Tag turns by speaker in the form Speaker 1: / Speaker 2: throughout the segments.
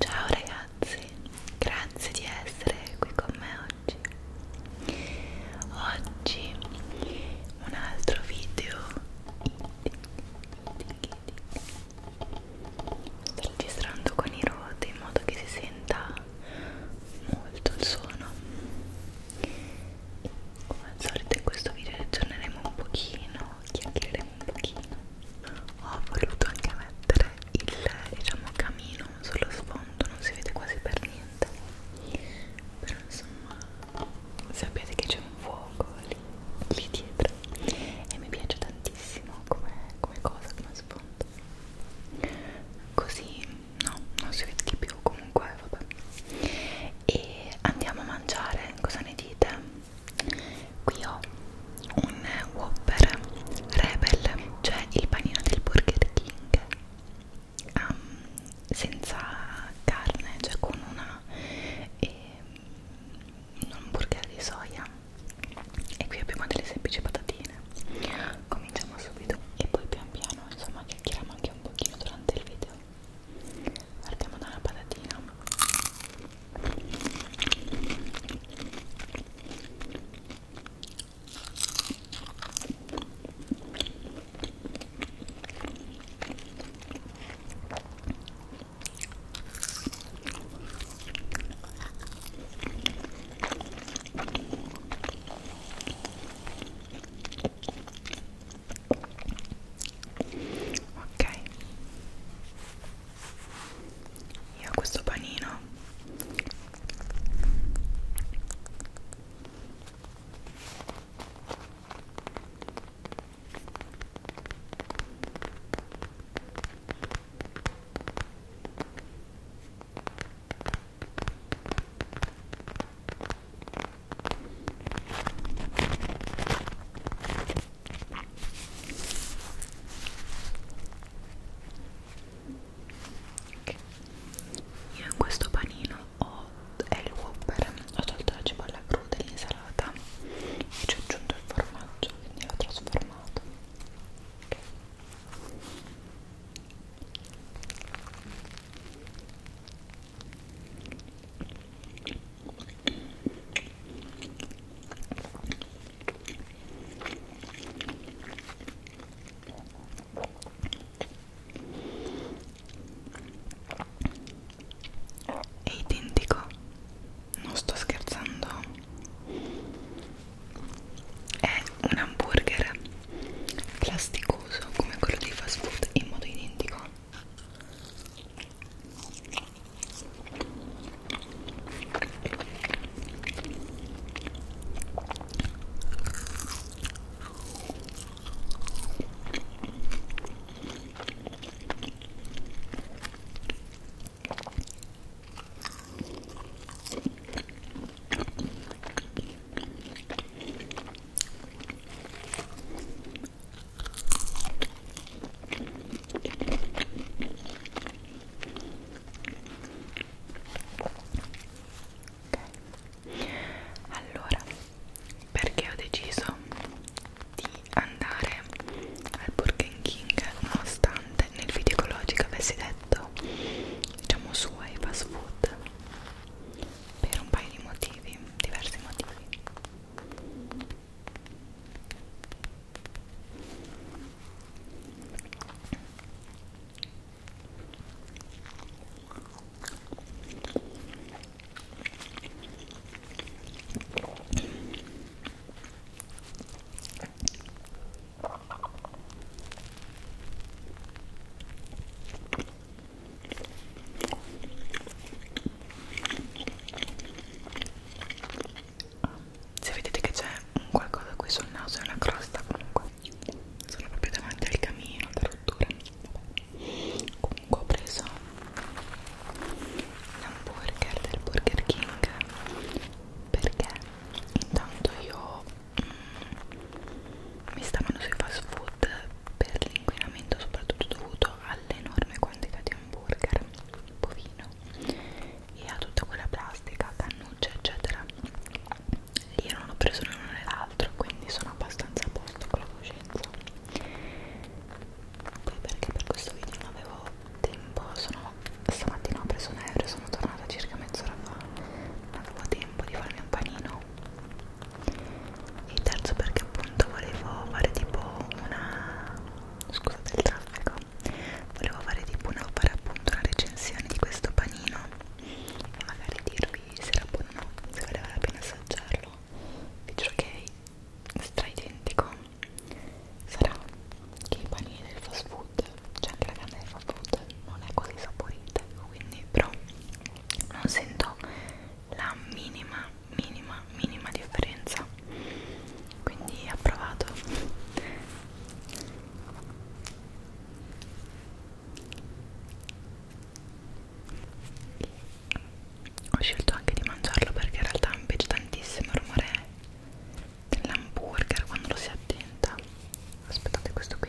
Speaker 1: Ciao ragazzi, grazie di essere qui con me oggi. Oggi un altro video sto registrando con i roti in modo che si senta molto il suono e come al solito in questo video aggiorneremo un pochino chiacchiereremo un pochino ho voluto anche mettere il diciamo camino sullo sfondo non si vede quasi per niente però insomma sapete che c'è un fuoco lì, lì dietro e mi piace tantissimo come, come cosa come sfondo così no, non si vede di più comunque, vabbè. E andiamo a mangiare, cosa ne dite? Qui ho un Whopper Rebel, cioè il panino del Burger King um, senza carne, cioè con una e, ehm, un hamburger di soia e qui abbiamo delle semplici patatine con cominciamo subito e poi pian piano insomma chiacchieriamo anche un pochino durante il video partiamo da una patatina ok io questo panino Okay. Io in questo panino ho è il Whopper, ho tolto la cipolla cruda e l'insalata e ci ho aggiunto il formaggio, quindi l'ho trasformato. Okay è identico non sto scherzando è un hamburger plasticoso come quello dei fast food in modo identico allora perché ho deciso di andare al Burger King nonostante nel video ecologico avessi detto diciamo su ai fast food per un paio di motivi, diversi motivi se vedete che c'è un qualcosa qui sul naso è una crosta comunque sono proprio davanti al camino alla rottura Vabbè. comunque ho preso l'hamburger del Burger King perché intanto io mi stavano sui fast food per l'inquinamento soprattutto dovuto all'enorme quantità di hamburger bovino e a tutta quella plastica, cannucce eccetera io non ho preso né l'uno né l'altro quindi sono abbastanza a posto con la coscienza poi perché per questo video non avevo tempo sono stamattina ho preso un aereo sono tornata circa mezz'ora fa non avevo tempo tempo di farmi un panino e il terzo perché appunto volevo fare tipo una scusate il traffico volevo fare tipo una fare appunto una recensione di questo panino e magari dirvi se era buono o no se valeva la pena assaggiarlo vi giuro che è stra identico sarà che i panini del fast food cioè anche la carne di fast food non è così saporita quindi però non sento la minima minima minima differenza quindi approvato ho scelto anche di mangiarlo perché in realtà mi piace tantissimo il rumore dell'hamburger quando lo si attenta aspettate questo qui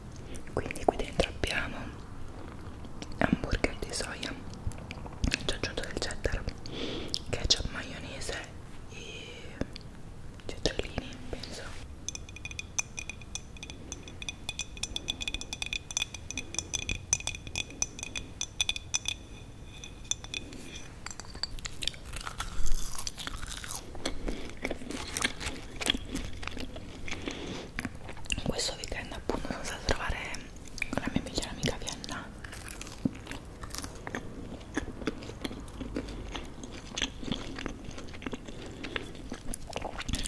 Speaker 1: quindi qui dentro abbiamo hamburger di soia ci ho aggiunto del cheddar ketchup maionese e cetriolini penso questo weekend appunto sono stata a trovare con la mia migliore amica Vienna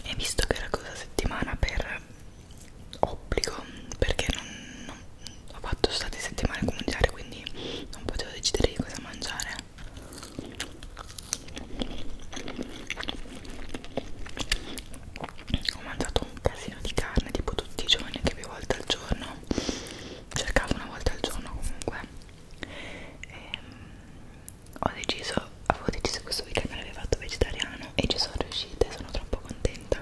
Speaker 1: e visto che era questa settimana per obbligo perché non, non ho fatto state settimane comunitarie quindi non potevo decidere di cosa mangiare ho mangiato un casino di carne tipo tutti i giorni anche più volte al giorno cercavo una volta al giorno comunque e, ehm, ho deciso avevo deciso questo weekend me l'avevo fatto vegetariano e ci sono riuscita e sono troppo contenta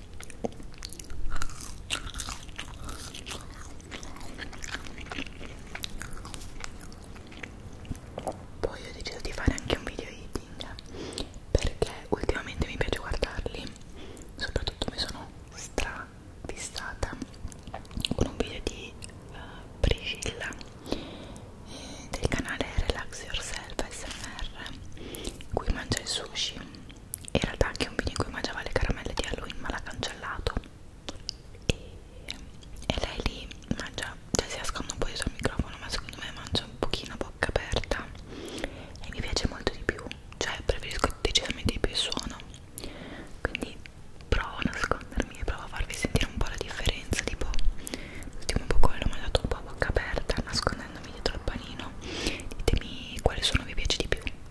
Speaker 1: poi ho deciso di fare anche un video eating perché ultimamente mi piace guardarli soprattutto mi sono stra fissata con un video di uh, Priscilla eh, del canale Relax Yourself SMR in cui mangia il sushi in realtà anche un video in cui mangiava le caramelle di Halloween ma l'ha cancellato e, e lei lì mangia, cioè si ascolta un po' dietro il microfono ma secondo me mangia un pochino a bocca aperta e mi piace molto di più cioè preferisco decisamente di più il suono quindi provo a nascondermi e provo a farvi sentire un po' la differenza tipo l'ultimo boccone l'ho mangiato un po' a bocca aperta nascondendomi dietro il panino ditemi quale suono vi piace di più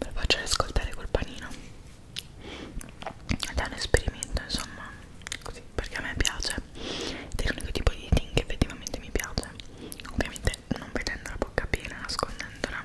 Speaker 1: per farcela ascoltare col panino ed è un esperimento insomma così perché a me piace ed è l'unico tipo di eating che effettivamente mi piace ovviamente non vedendo la bocca piena nascondendola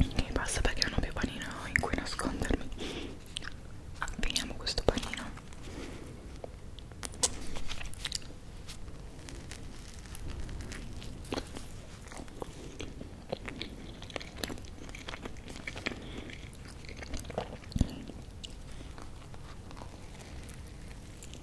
Speaker 1: e basta perché non ho più panino in cui nascondermi ah, finiamo questo panino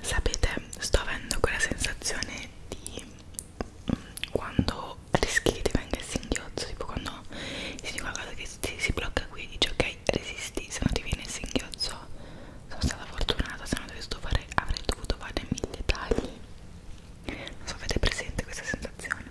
Speaker 1: Sapete, sto avendo quella sensazione di mm, quando rischi che ti venga il singhiozzo, tipo quando si dice qualcosa che si, si blocca qui e dici ok resisti, se non ti viene il singhiozzo sono stata fortunata, se no dovessi fare, avrei dovuto fare mille tagli. Non so, avete presente questa sensazione?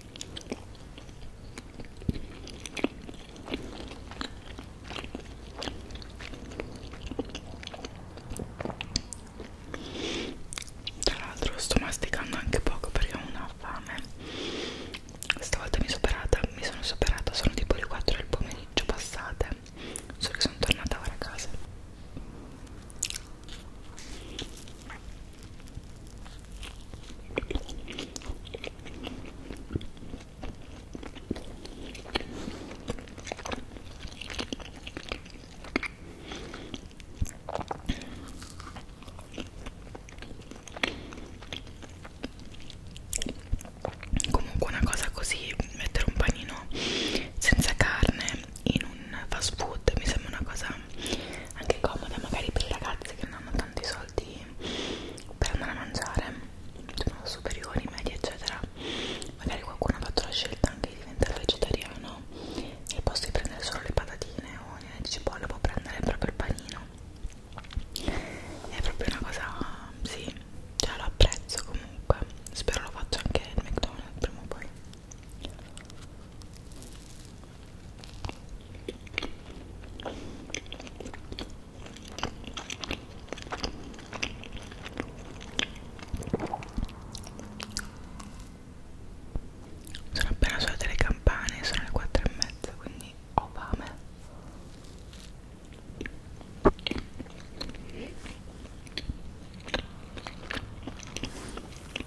Speaker 1: Tra l'altro sto masticando anche poco perché ho una fame Stavolta mi, superata, mi sono superata, sono tipo le 4 del pomeriggio passate Solo che sono tornata ora a casa Comunque una cosa così, mettere un panino senza carne in un fast food mi sembra una cosa anche comoda magari per i ragazzi che non hanno tanti soldi per andare a mangiare sono superiori, medi eccetera magari qualcuno ha fatto la scelta anche di diventare vegetariano e al posto di prendere solo le patatine o le cipolle può prendere proprio il panino è proprio una cosa sì, cioè lo apprezzo comunque spero lo faccia anche al McDonald's prima o poi sono appena suonate le campane, sono le 4 e mezza, quindi ho fame.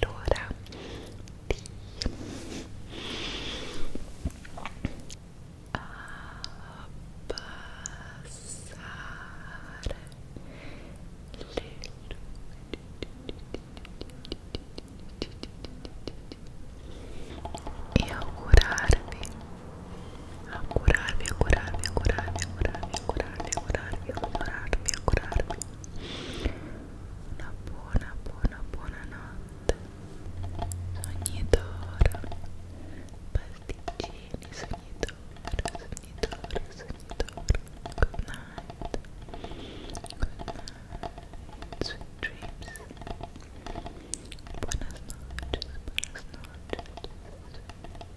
Speaker 1: l'ora di abbassare le luci e augurarvi augurarvi augurarvi augurarvi augurarvi augurarvi augurarvi augurarvi augurarvi una buona buona buona notte sognitore pasticcini sognitore sognitore sognitore good night good night sweet dreams buenas noches buenas noches